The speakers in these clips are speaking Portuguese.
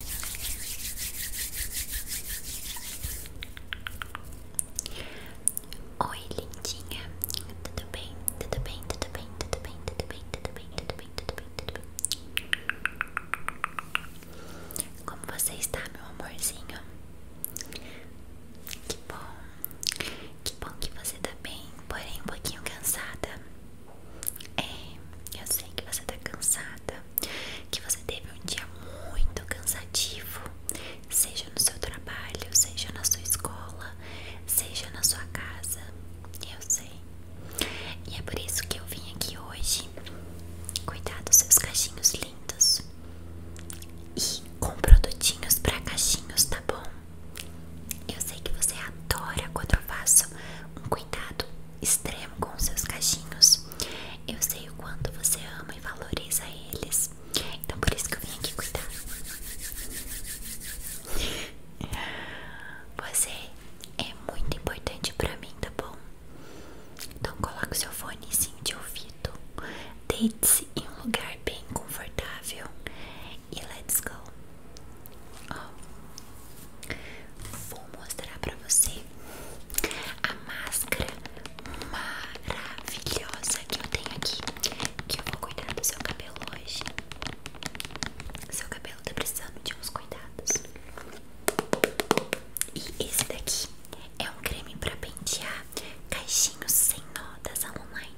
Oi, lindinha. Tudo bem? Tudo bem? Tudo bem? Tudo bem? Tudo bem? Tudo bem? Tudo bem? Tudo bem? Tudo bem? Como você está, meu amorzinho? Que bom. Que bom que você está bem, porém um pouquinho cansada. É, eu sei que você tá cansada, que você teve um dia muito cansativo, seja no seu trabalho, seja na sua escola, seja na sua casa. Eu sei. E é por isso que eu vim aqui hoje cuidar dos seus cachinhos lindos e com produtinhos para cachinhos, tá bom? Eu sei que você adora quando eu faço um cuidado extremo com seus cachinhos. Eu sei o quanto você ama e valoriza eles. Então por isso que eu vim aqui cuidar. Você é muito importante para mim, tá bom? Então coloque o seu fone fonezinho de ouvido. Deite-se em um lugar bem confortável. E let's go. Oh. Vou mostrar pra você a máscara maravilhosa que eu tenho aqui. Que eu vou cuidar do seu cabelo hoje. Seu cabelo tá precisando de uns cuidados. E esse daqui é um creme pra pentear caixinhos sem notas online.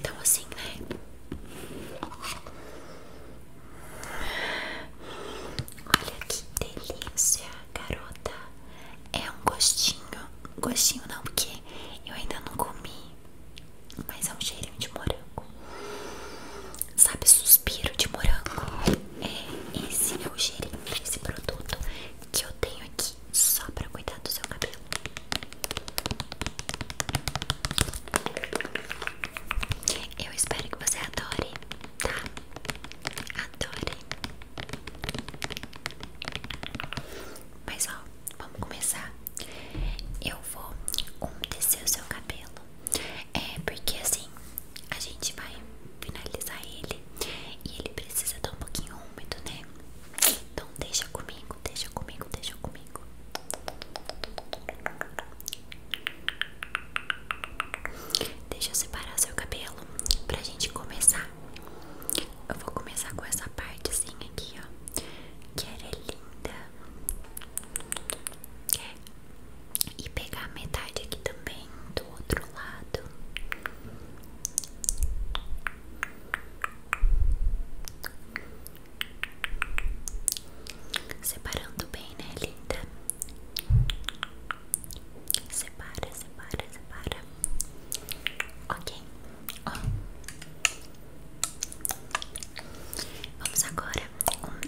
Então assim, né? Olha que delícia, garota. É um gostinho. gostinho não, porque eu ainda não comi. Mas é um cheirinho de morango. Sabe, suspiro de morango. É, esse é o cheirinho desse produto que eu tenho aqui só pra cuidar do seu cabelo. Eu espero que você adore, tá? Adore. Mas ó, vamos começar. Eu vou descer o seu cabelo. É porque assim a gente vai finalizar ele e ele precisa estar um pouquinho úmido, né? Então deixa comigo, deixa comigo, deixa comigo. Deixa eu separar seu cabelo pra gente começar. Eu vou começar com essa partezinha aqui, ó. Que era é linda. É. E pegar a metade aqui também do outro lado. Separando bem, né, linda? Separa, separa, separa. Ok, ó. Vamos agora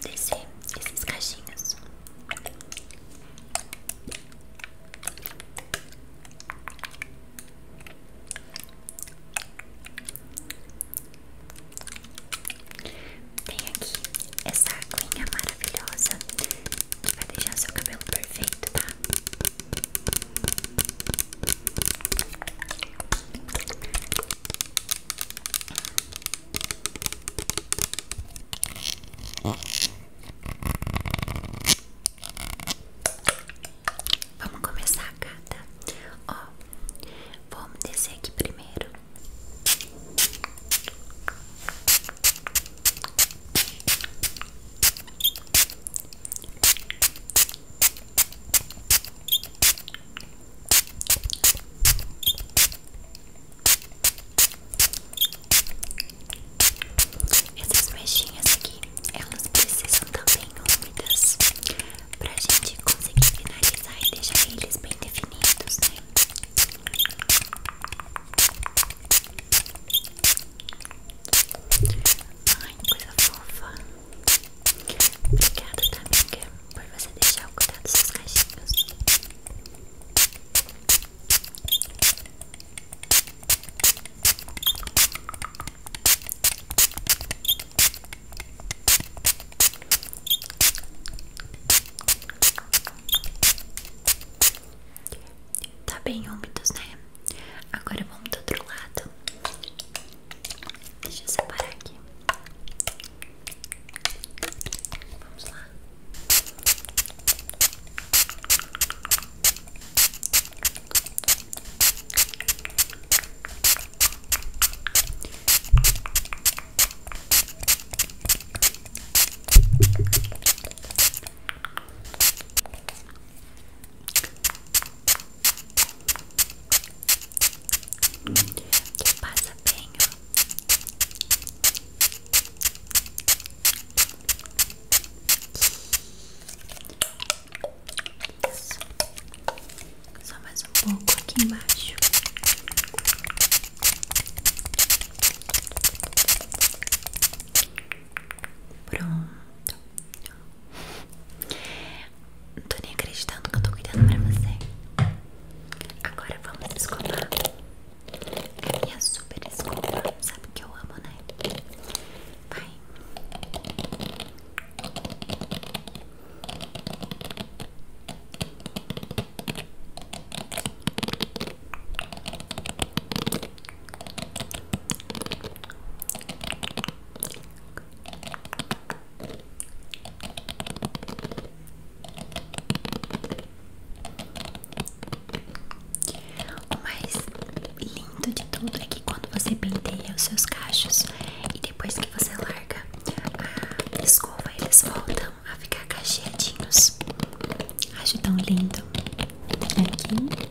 descer esses cachinhos. Tem aqui essa aguinha maravilhosa que vai deixar seu cabelo perfeito, tá? Vamos começar, gata. Ó, vamos descer aqui primeiro. Essas mechinhas aqui, elas precisam também úmidas pra gente conseguir finalizar e deixar eles bem definidos, né? Ai, coisa fofa. Obrigada, tá, amiga, por você deixar eu cuidado dos seus cachinhos. Tá bem úmidos, né? Agora vamos do outro lado. Deixa eu separar aqui. Vamos lá. Que passa bem, ó. Isso. Só mais um pouco aqui embaixo. Pronto. Não tô nem acreditando que eu tô cuidando pra você. Agora vamos escovar e é super escura, sabe que eu amo, né? Vai. O mais lindo de tudo é que quando você penteia os seus cachos e depois que você larga a escova, eles voltam a ficar cacheadinhos. Acho tão lindo. Aqui.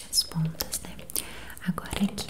as pontas, né? Agora aqui.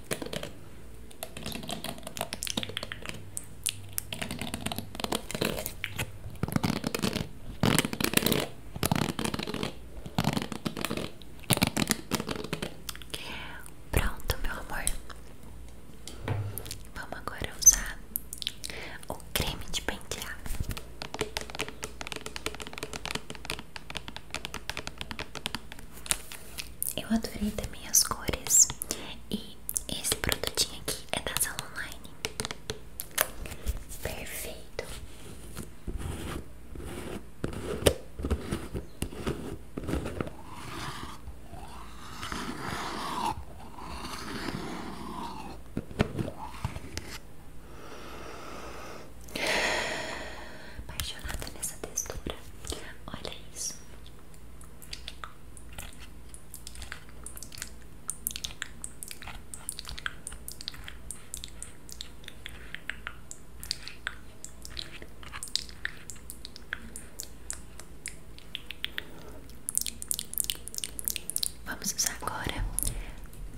Pronto, meu amor. Vamos agora usar o creme de pentear. Eu adorei também as cores E esse produtinho aqui é da Sala Online Perfeito Apaixonada nessa textura. Olha isso. Vamos usar agora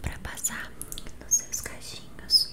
para passar nos seus cachinhos.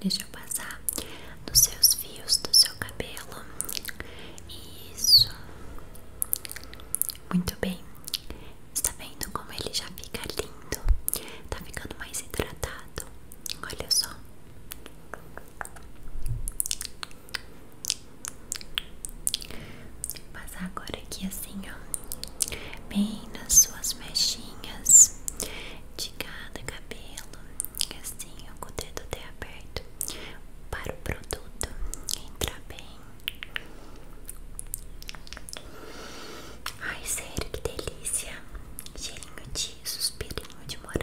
Deixa eu passar nos seus fios do seu cabelo. Isso. Muito bem. Está vendo como ele já fica lindo? está ficando mais hidratado. Olha só. Vou passar agora aqui assim, ó. Bem nas suas mechinhas de cada cabelo, assim, com o dedo até aberto, para o produto entrar bem. Ai, sério, que delícia! Cheirinho de suspirinho de morango.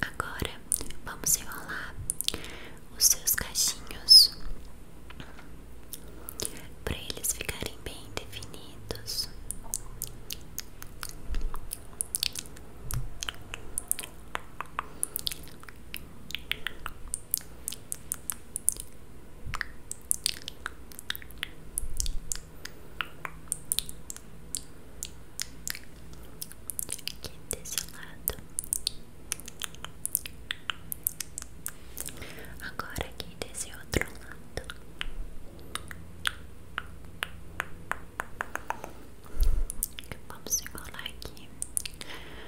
Agora vamos enrolar os seus cachinhos para eles ficarem bem definidos aqui desse lado. Agora aqui desse outro lado. Vamos enrolar aqui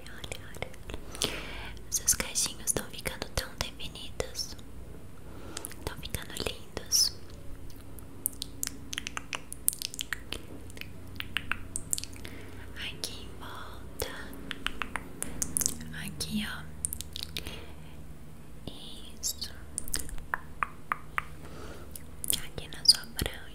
olha, olha, olha. Seus estão ficando tão definidos. Estão ficando lindos. Aqui em volta. Aqui, ó. Isso. Aqui na sua branca.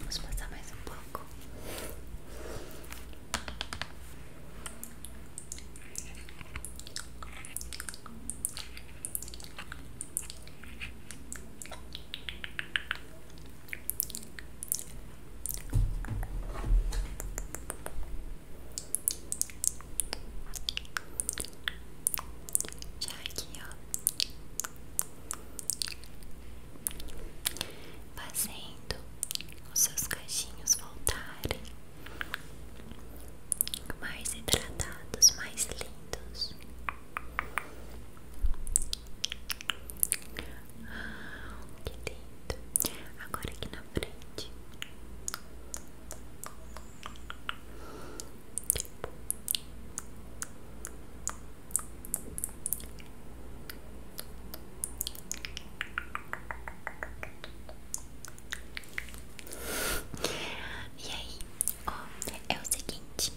Vamos passar mais um pouco. Já aqui, ó. Fazendo os seus cachinhos voltarem mais hidratados, mais lindos. Ah, que lindo! Agora aqui na frente, e aí, ó, é o seguinte,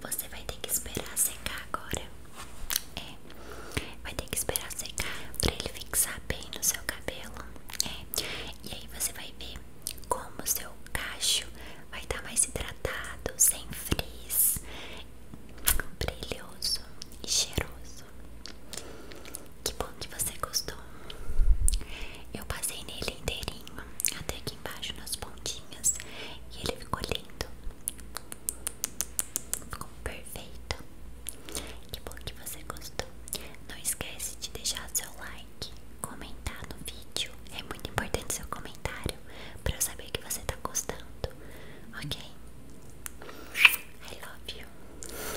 você vai ter que esperar secar agora. É, vai ter que esperar secar pra ele fixar bem no seu cabelo. É, e aí você vai ver como seu cacho vai estar tá mais hidratado, sem frizz, brilhoso e cheiroso. Que bom que você gostou. Eu passei nele inteirinho, até aqui embaixo nas pontinhas, e ele ficou lindo. Ficou perfeito. Que bom que você gostou. Não esquece de deixar seu like, comentar no vídeo. É muito importante seu comentário para eu saber que você tá gostando. Ok? I love you.